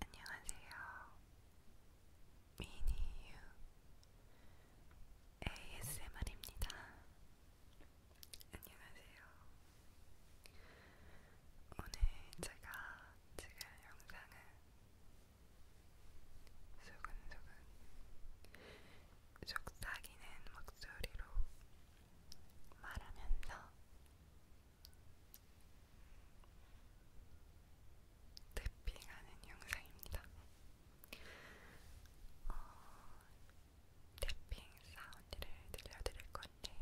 안녕하세요. 미니유 ASMR입니다. 안녕하세요. 오늘 제가 찍을 영상은 소근소근 속삭이는 목소리로 말하면서 태핑하는 영상입니다. 어, 태핑 사운드를 들려드릴 건데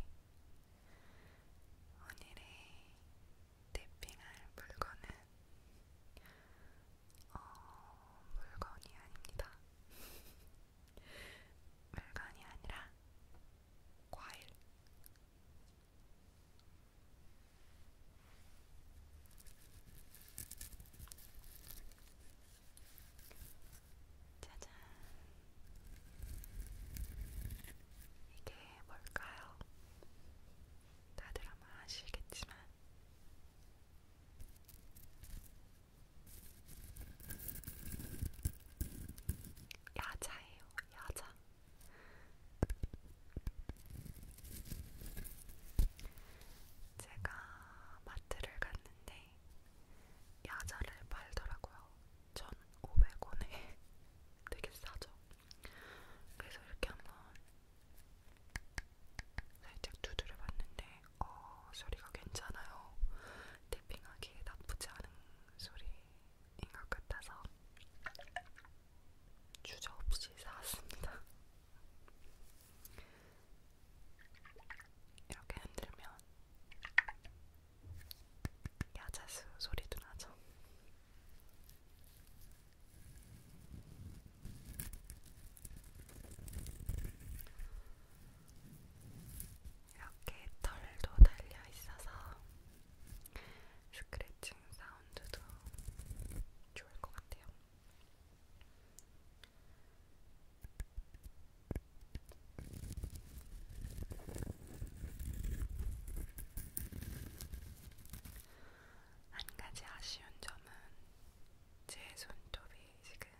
오늘의 태핑할 물건은 어, 물건이 아닙니다. 물건이 아니라 과일 짜잔 이게 뭘까요? 다들 아마 아시겠지만 야자예요, 야자. 제가 마트를 갔는데 야자를 팔더라고요. 1,500원에 되게 싸죠. 그래서 이렇게 한번 살짝 두드려 봤는데 어, 소리가 괜찮아요. 탭핑하기에 나쁘지 않은 소리인 것 같아서 주저 없이 사왔습니다. 이렇게 흔들면 야자수 소리도 나죠. 이렇게 털도 달려 있어서 스크래칭 사운드도 좋을 것 같아요. 한 가지 아쉬운 점은 제 손톱이 지금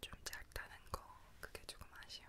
좀 짧다는 거 그게 조금 아쉬운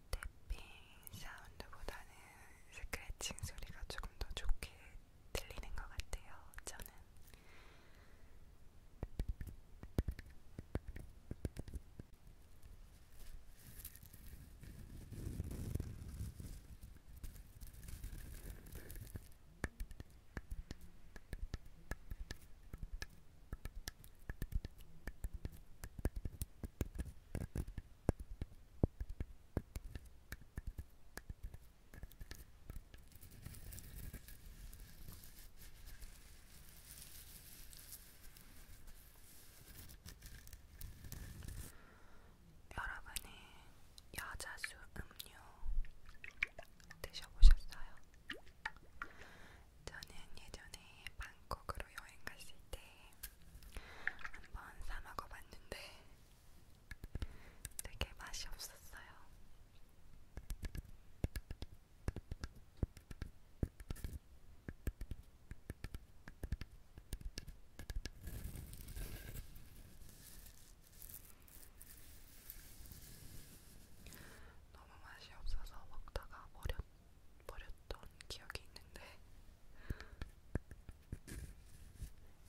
탭핑 사운드보다는 스크래칭 소리가 조금 더 좋게 들리는 것 같아요. 저는 여러분이 여자수 음료 드셔보셨어요? 저는 예전에 방콕으로 여행 갔을 때 한번 사 먹어봤는데 되게 맛이 없었어요. 너무 맛이 없어서 먹다가 버렸어요. 버렸던 기억이 있는데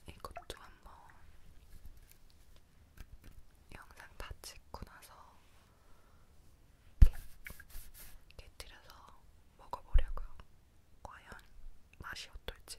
이것도 한번 영상 다 찍고 나서 깨뜨려서 먹어보려고요. 과연 맛이 어떨지.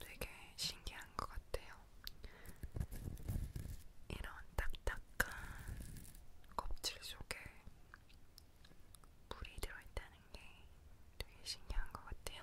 되게 신기한 것 같아요. 이런 딱딱한 껍질 속에 물이 들어있다는 게 되게 신기한 것 같아요.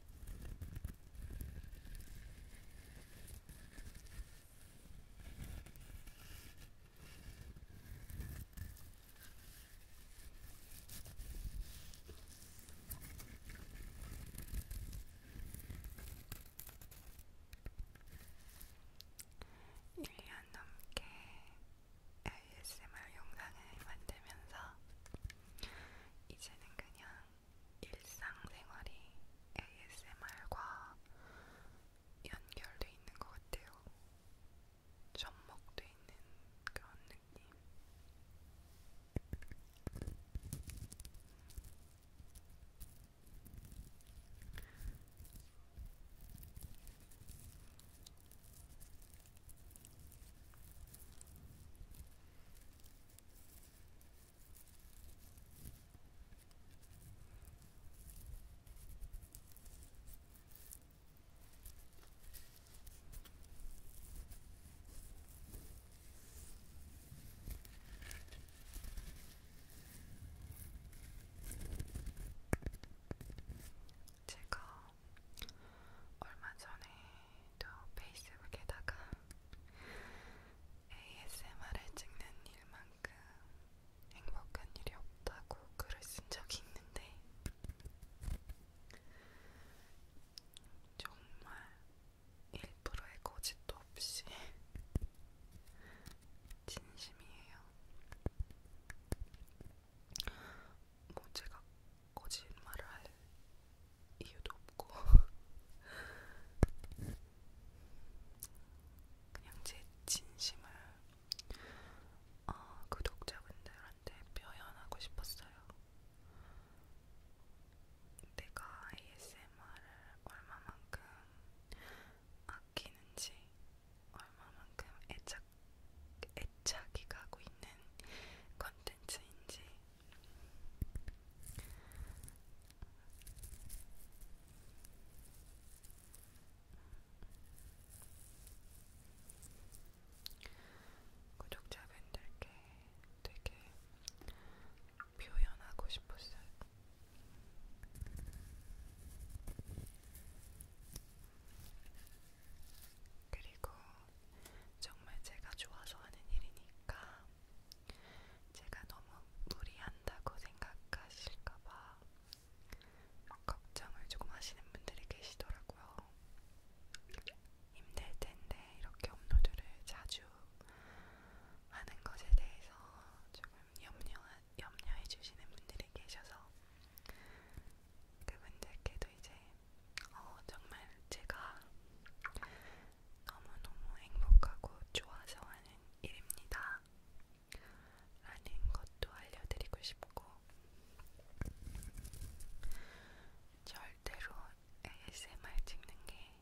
1년 넘게 ASMR 영상을 만들면서 이제는 그냥 일상생활이 ASMR과 연결돼 있는 것 같아요. 접목돼 있는 그런 느낌. 제가 얼마 전에 또 페이스북에다가 ASMR을 찍는 일만큼 행복한 일이 없다고 글을 쓴 적이 있는데 정말 1%의 거짓도 없이 진심이에요. 뭐 제가 거짓말을 할 이유도 없고 그냥 제 진심을 어, 구독자분들한테 표현하고 싶었어요. 내가 ASMR을 얼마만큼 아끼는지, 얼마만큼 애착, 애착이 가고 있는 컨텐츠인지 구독자분들께 되게 표현하고 싶었어요. 그리고 정말 제가 좋아서 하는 일이니까 제가 너무 무리한다고 생각하실까봐 걱정을 조금 하시는 분들이 계시더라고요. 힘들 텐데 이렇게 업로드를 자주 하는 것에 대해서 조금 염려, 염려해 주시는 분들이 계셔서 그분들께도 이제 어, 정말 제가 너무너무 행복하고 좋아서 하는 일입니다. 라는 것도 알려드리고 싶고, 절대로 ASMR 찍는 게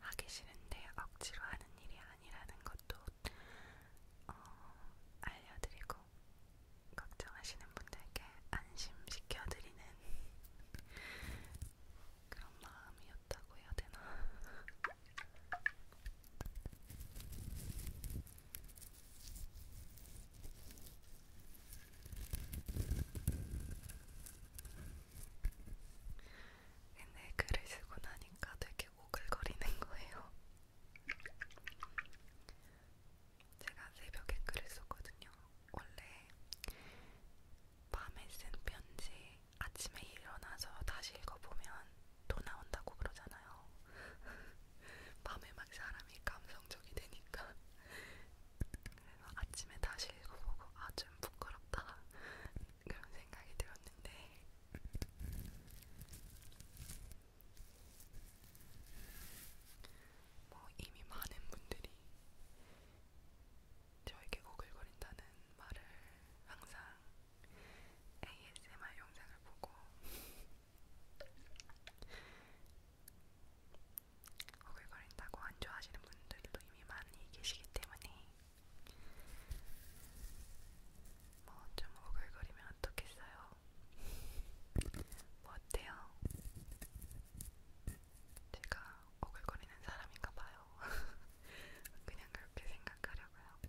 하기 싫은데 억지로 하는 일이 아니라는 것도 어, 알려드리고, 걱정하시는 분들께 안심시켜드리는 그런 마음이었다고 해야 되나? 근데 글을 쓰고 나니까 되게 오글거리는 거예요. 제가 새벽에 글을 썼거든요. 원래 밤에 쓴 편지 아침에 일어나서 다시 읽어보면 또 나온다고 그러잖아요. 밤에 막 사람이 감성적이 되니까. 그래서 아침에 다시 읽어보고 아, 좀 부끄럽다. 그런 생각이 들었는데 뭐 이미 많은 분들이 저에게 오글거린다는 말을 항상 ASMR 영상을 보고 오글거린다고 안 좋아하시는 분들도 이미 많이 계시기 때문에 뭐 좀 오글거리면 어떻겠어요? 뭐 같아요. 제가 오글거리는 사람인가 봐요. 그냥 그렇게 생각하려고요.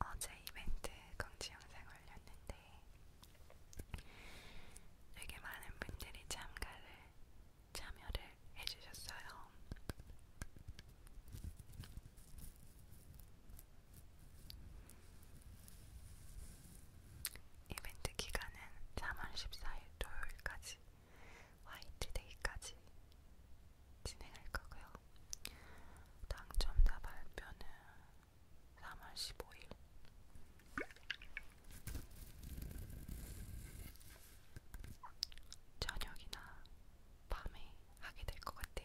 어제 이벤트 공지 영상 올렸는데 되게 많은 분들이 참가를 참여를 해주셨어요. 이벤트 기간은 3월 14일 토요일까지 화이트데이까지 진행할 거고요. 당첨자 발표는 3월 15일 저녁이나 밤에 하게 될 것 같아요.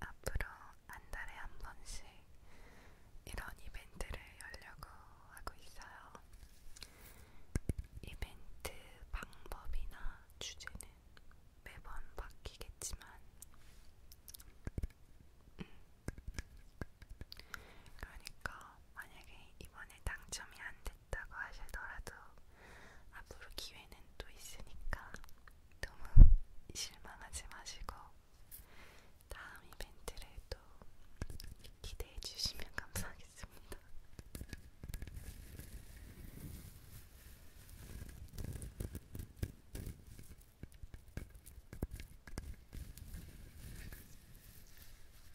앞으로 한 달에 한 번씩 이런 이벤트를 열려고 하고 있어요. 이벤트 방법이나 주제는 매번 바뀌겠지만, 음. 그러니까 만약에 이번에 당첨이 안 됐다고 하시더라도 앞으로 기회는 또 있으니까 너무 실망하지 마시고 다음 이벤트를 또 기대해 주시면 감사하겠습니다.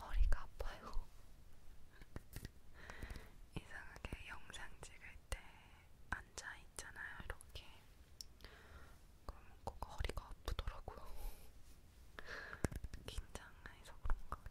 허리가 아파요. 이상하게 영상 찍을 때 앉아 있잖아요, 이렇게. 그러면 꼭 허리가 아프더라고요. 긴장해서 그런가?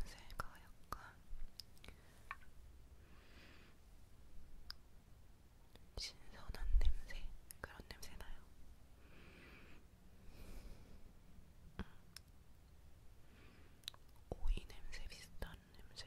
냄새가 약간 신선한 냄새 그런 냄새 나요. 음. 오이 냄새 비슷한 냄새.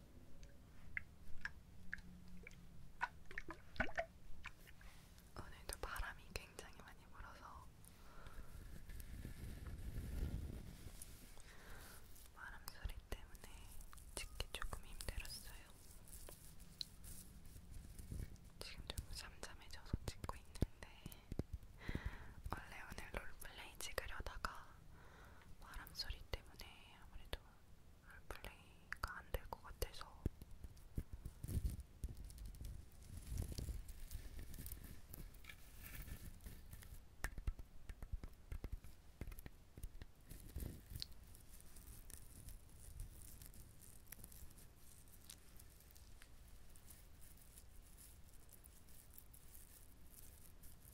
오늘도 바람이 굉장히 많이 불어서 바람 소리 때문에 찍기 조금 힘들었어요. 지금 좀 잠잠해져서 찍고 있는데 원래 오늘 롤플레이 찍으려다가 바람 소리 때문에 아무래도 플레이가 안될 것 같아서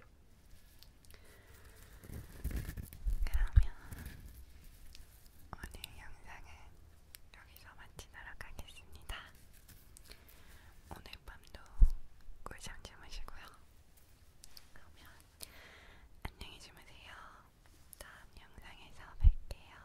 그러면 오늘 영상은 여기서 마치도록 하겠습니다. 오늘 밤도 꿀잠 주무시고요. 그러면 안녕히 주무세요. 다음 영상에서 뵐게요.